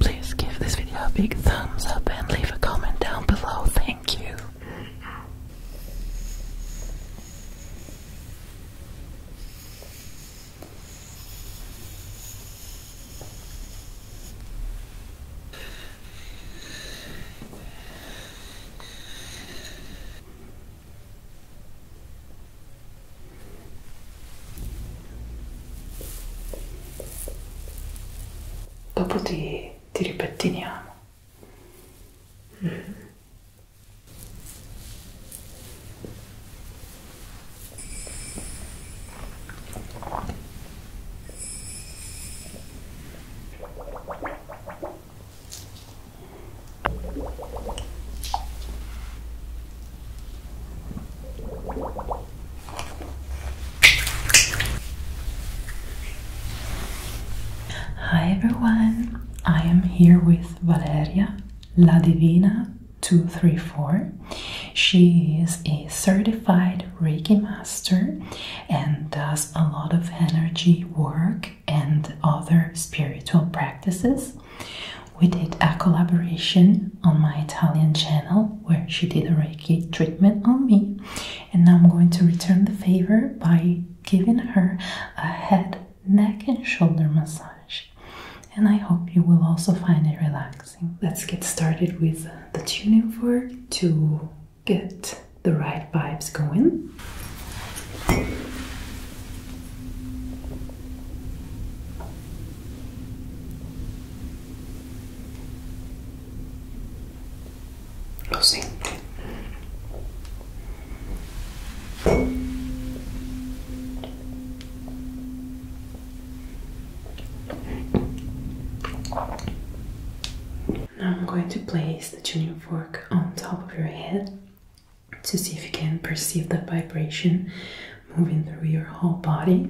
Please give this video a big thumbs up and leave a comment down below. Thank you. Dopo ti, ti ripettiniamo. Mm -hmm. Hi everyone, I am here with Valeria La Divina 234. She is a certified Reiki master and does a lot of energy work and other spiritual practices. We did a collaboration on my Italian channel where she did a Reiki treatment on me, and now I'm going to return the favor by giving her a head, neck, and shoulder massage. And I hope you will also find it relaxing. Let's get started with uh, the tuning fork to get the right vibes going. Lo Now I'm going to place the tuning fork on top of your head to see if you can perceive the vibration moving through your whole body.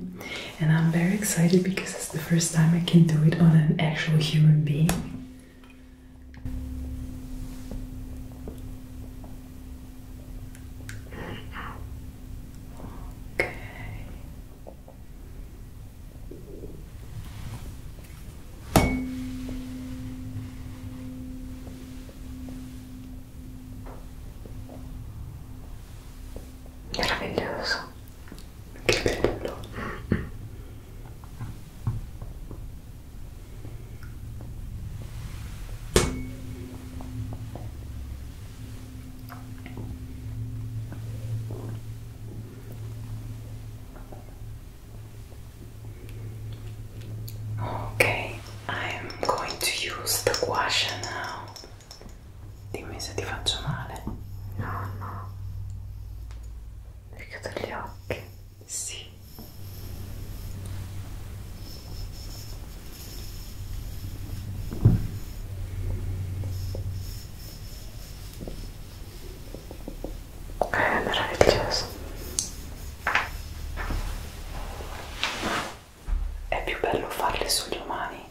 And I'm very excited because it's the first time I can do it on an actual human being. Okay. Meraviglioso. Che bello. Okay, I'm going to use the gouache now. Dimmi se ti faccio male. No, no. Mi chiudo gli occhi. Sì. È meraviglioso. È più bello farli sugli umani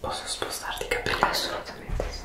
Posso spostarti i capelli? Assolutamente sì.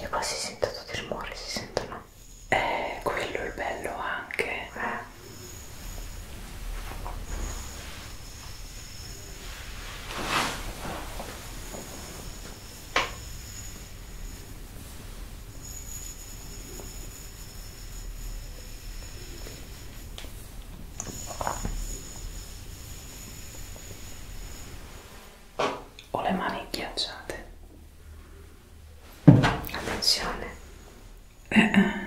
E qua si sente tutto il rumore, si sentono. È quello il bello anche. Eh ho le mani ghiacciate attenzione eh, eh.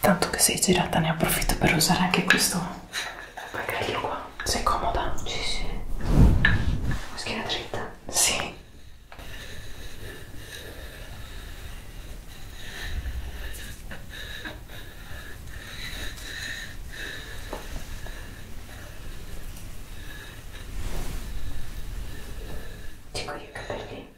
Tanto che sei girata ne approfitto per usare anche questo bagaglio qua. Sei comoda? Sì, sì. Schiena dritta? Sì. Dico io i capelli.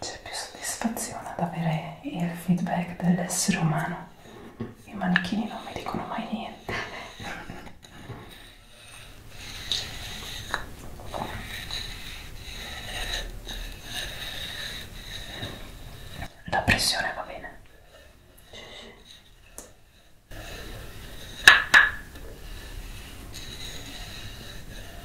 c'è più soddisfazione ad avere il feedback dell'essere umano. I manichini non mi dicono mai niente. La pressione va bene. Sì, sì.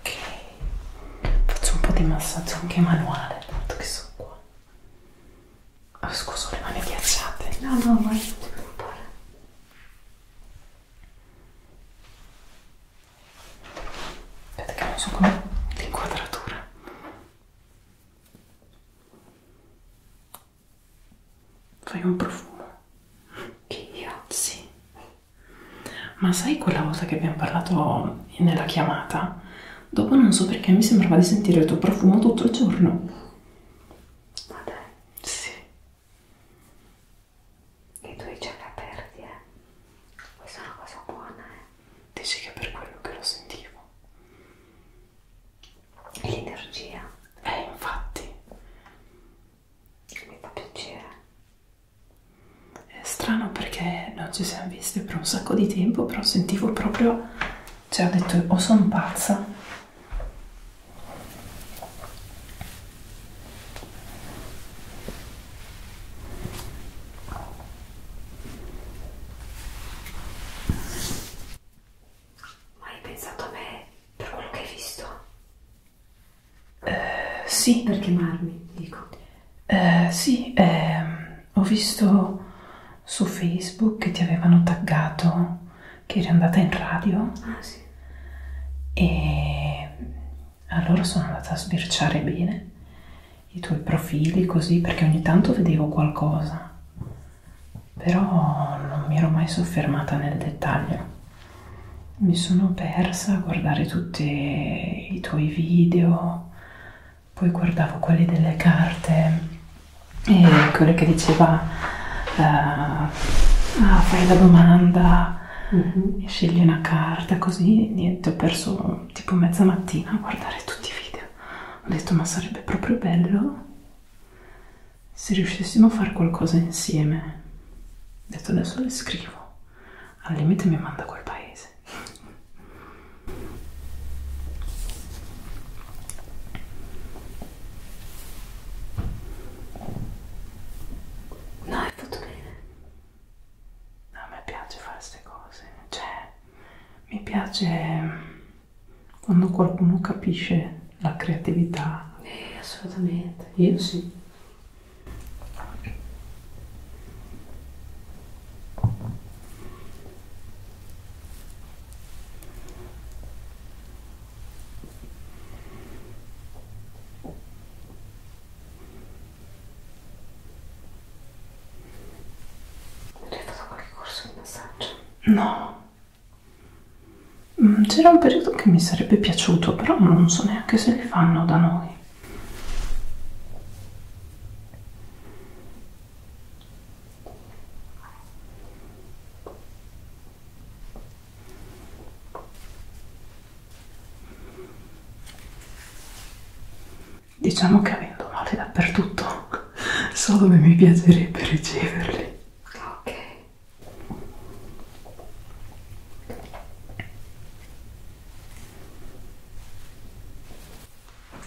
Ok, faccio un po' di massaggio anche manuale, tanto che sono qua. Oh, scusa, le mani ghiacciate. No, no, ma non ti preoccupare. Vedete che non so come l'inquadratura. Fai un profumo. Io? Sì. Ma sai quella volta che abbiamo parlato nella chiamata? Dopo non so perché mi sembrava di sentire il tuo profumo tutto il giorno. Ma dai? Sì. E tu i giochi aperti, eh? Questa è una cosa buona, eh? Dici che è per quello che lo sentivo. E l'energia. Eh, infatti. Mi fa piacere. È strano perché non ci siamo visti per un sacco di tempo, però sentivo proprio, cioè ho detto o sono pazza ma hai pensato a me per quello che hai visto? Eh, sì, per chiamarmi, dico. Eh, sì, eh, ho visto su Facebook che ti avevano taggato che eri andata in radio ah, sì. e allora sono andata a sbirciare bene i tuoi profili così perché ogni tanto vedevo qualcosa però non mi ero mai soffermata nel dettaglio mi sono persa a guardare tutti i tuoi video poi guardavo quelli delle carte e quello che diceva uh, ah, fai la domanda mm -hmm. scegli una carta così niente ho perso tipo mezza mattina a guardare tutti i video ho detto ma sarebbe proprio bello se riuscissimo a fare qualcosa insieme ho detto adesso le scrivo al limite mi manda quel paese No, hai fatto bene. No, a me piace fare queste cose, cioè mi piace mm, quando qualcuno capisce la creatività. Eh, assolutamente, io sì. Hai fatto qualche corso di massaggio? No. Mm, c'era un periodo che mi sarebbe piaciuto, però non so neanche se li fanno da noi. Diciamo che avendo male dappertutto so dove mi piacerebbe riceverli. Ok.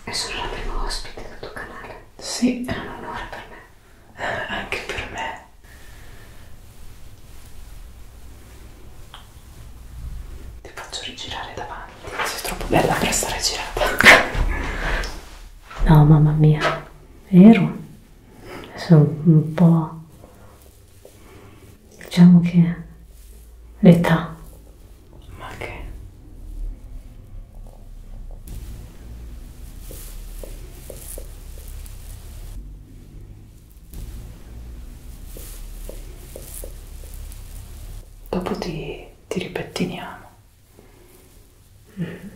E sono la prima ospite del tuo canale? Sì. È un onore per me anche per me ti faccio rigirare davanti sei troppo bella per essere girata no mamma mia vero sono un po' diciamo che l'età ma che Dopo ti, ti ripettiniamo. Mm -hmm.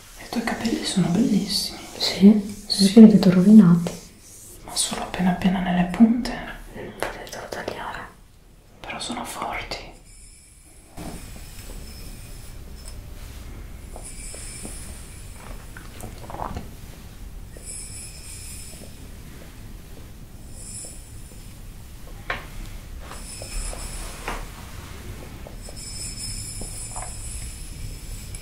E i tuoi capelli sono bellissimi. Sì, sono sì. li vedo rovinati. Ma solo appena appena nelle punte. Potete devo tagliare. Però sono forti.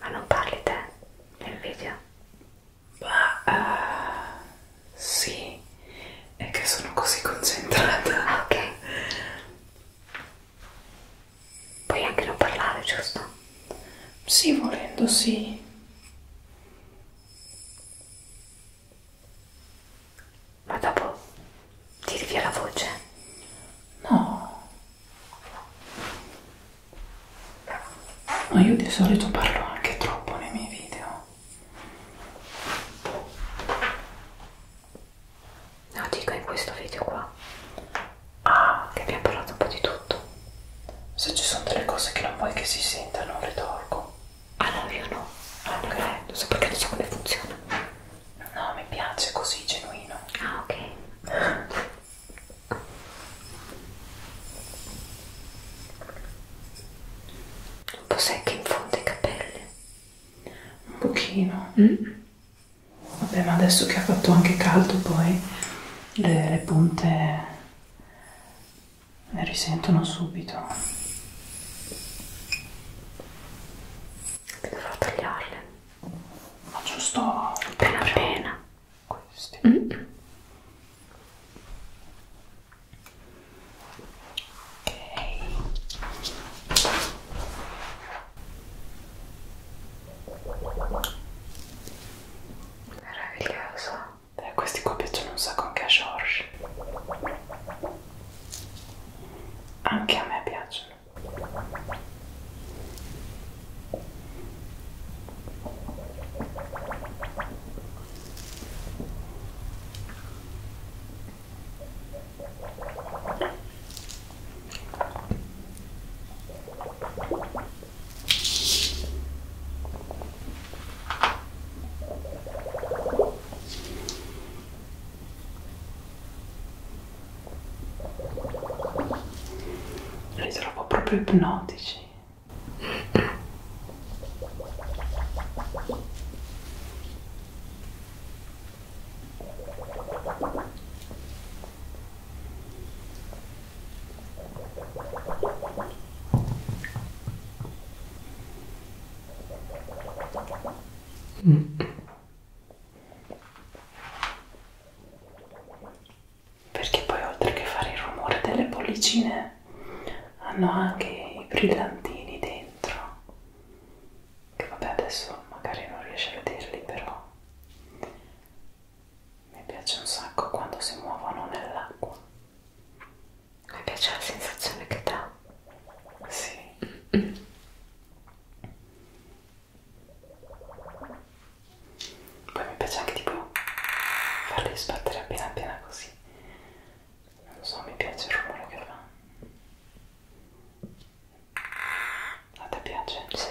Ma non parli te nel video? Ma uh, sì, è che sono così concentrata. Ah, ok. Puoi anche non parlare, giusto? Sì, volendo, sì ma dopo tiri via la voce? No, ma io di solito parlo anche troppo nei miei video. No, dico in questo video qua. Ah, che abbiamo parlato un po' di tutto. Se ci sono delle cose che non vuoi che si sentano, le tolgo. Ah no, io no. Ah, ok, eh, non so perché non so come funziona. No, mi piace così genuino. Ah, ok. Un po' secca in fondo i capelli. Un pochino. Mm. Vabbè, ma adesso che ha fatto anche caldo poi le, le punte ne risentono subito dovrò tagliarle ma giusto appena appena questi mm -mm. ok meraviglioso eh, questi qua piacciono un sacco anche a George anche a me piacciono li trovo proprio ipnotici. Mm perché poi oltre che fare il rumore delle bollicine hanno anche i brillantini dentro che vabbè adesso magari non riesci a vederli però mi piace un sacco quando si muovono nell'acqua mi piace la sensazione che dà sì. Poi mi piace anche tipo farli sbattere appena appena così. Non so, mi piace il rumore che fa. A te piace? Sì.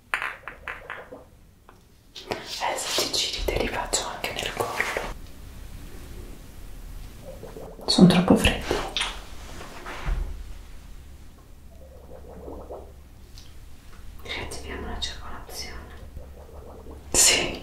Adesso eh, ti giri, te li faccio anche nel collo. Sono troppo freddi. Riattiviamo la circolazione. Sì.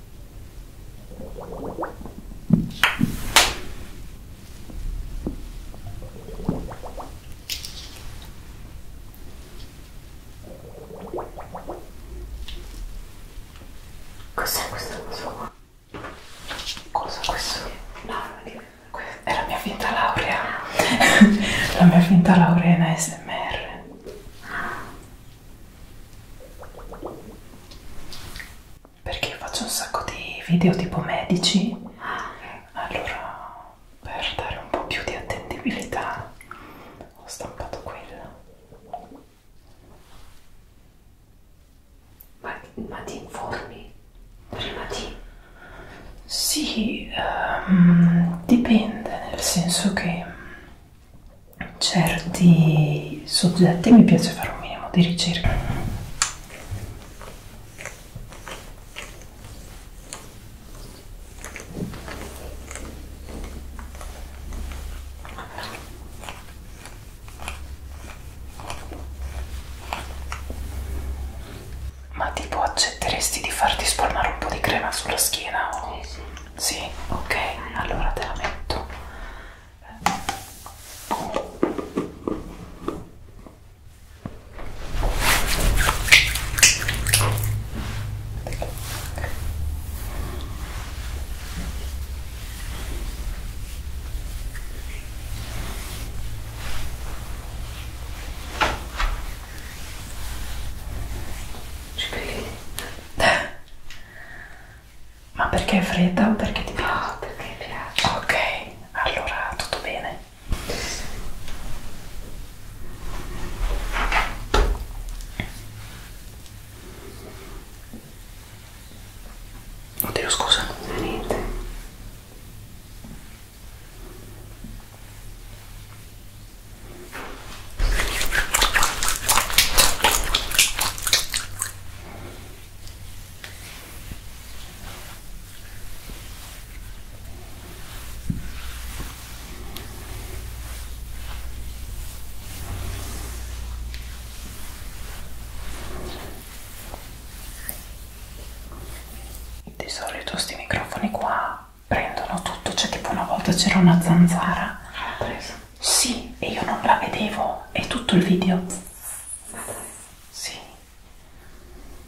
Cos'è questo insomma? Cosa questo? No, è la mia finta laurea. la mia finta laurea in ASMR. Ah perché io faccio un sacco di video tipo medici ah, allora per dare un po' più di attendibilità ho stampato quello ma, ma ti informi prima di sì um, dipende nel senso che certi soggetti mi piace fare un minimo di ricerca ma tipo accetteresti di farti spalmare un po' di crema sulla schiena? O? Sì, sì. Sì, ok, allora te la metto. Ci vedi? Eh? Ma perché è fredda o perché ti piace? No, perché piace. Ok, allora tutto bene. Oddio, scusa. Niente. Di solito questi microfoni qua prendono tutto, cioè tipo una volta c'era una zanzara. L'ha presa. Sì, e io non la vedevo, è tutto il video. Sì.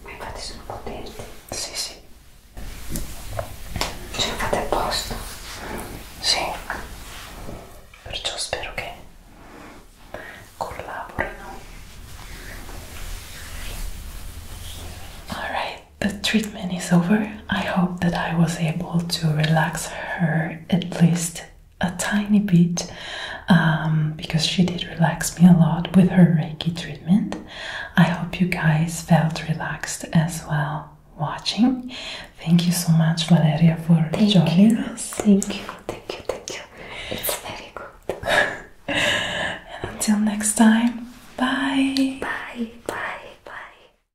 Ma infatti sono potenti. Sì, sì. Ce la fate apposta. Sì. Perciò spero che collaborino. Alright, the treatment is over. I hope that I was able to relax her at least a tiny bit um, because she did relax me a lot with her Reiki treatment. I hope you guys felt relaxed as well watching. Thank you so much, Valeria, for thank joining you. us. Thank you, thank you, thank you. It's very good. and until next time, bye. Bye, bye, bye.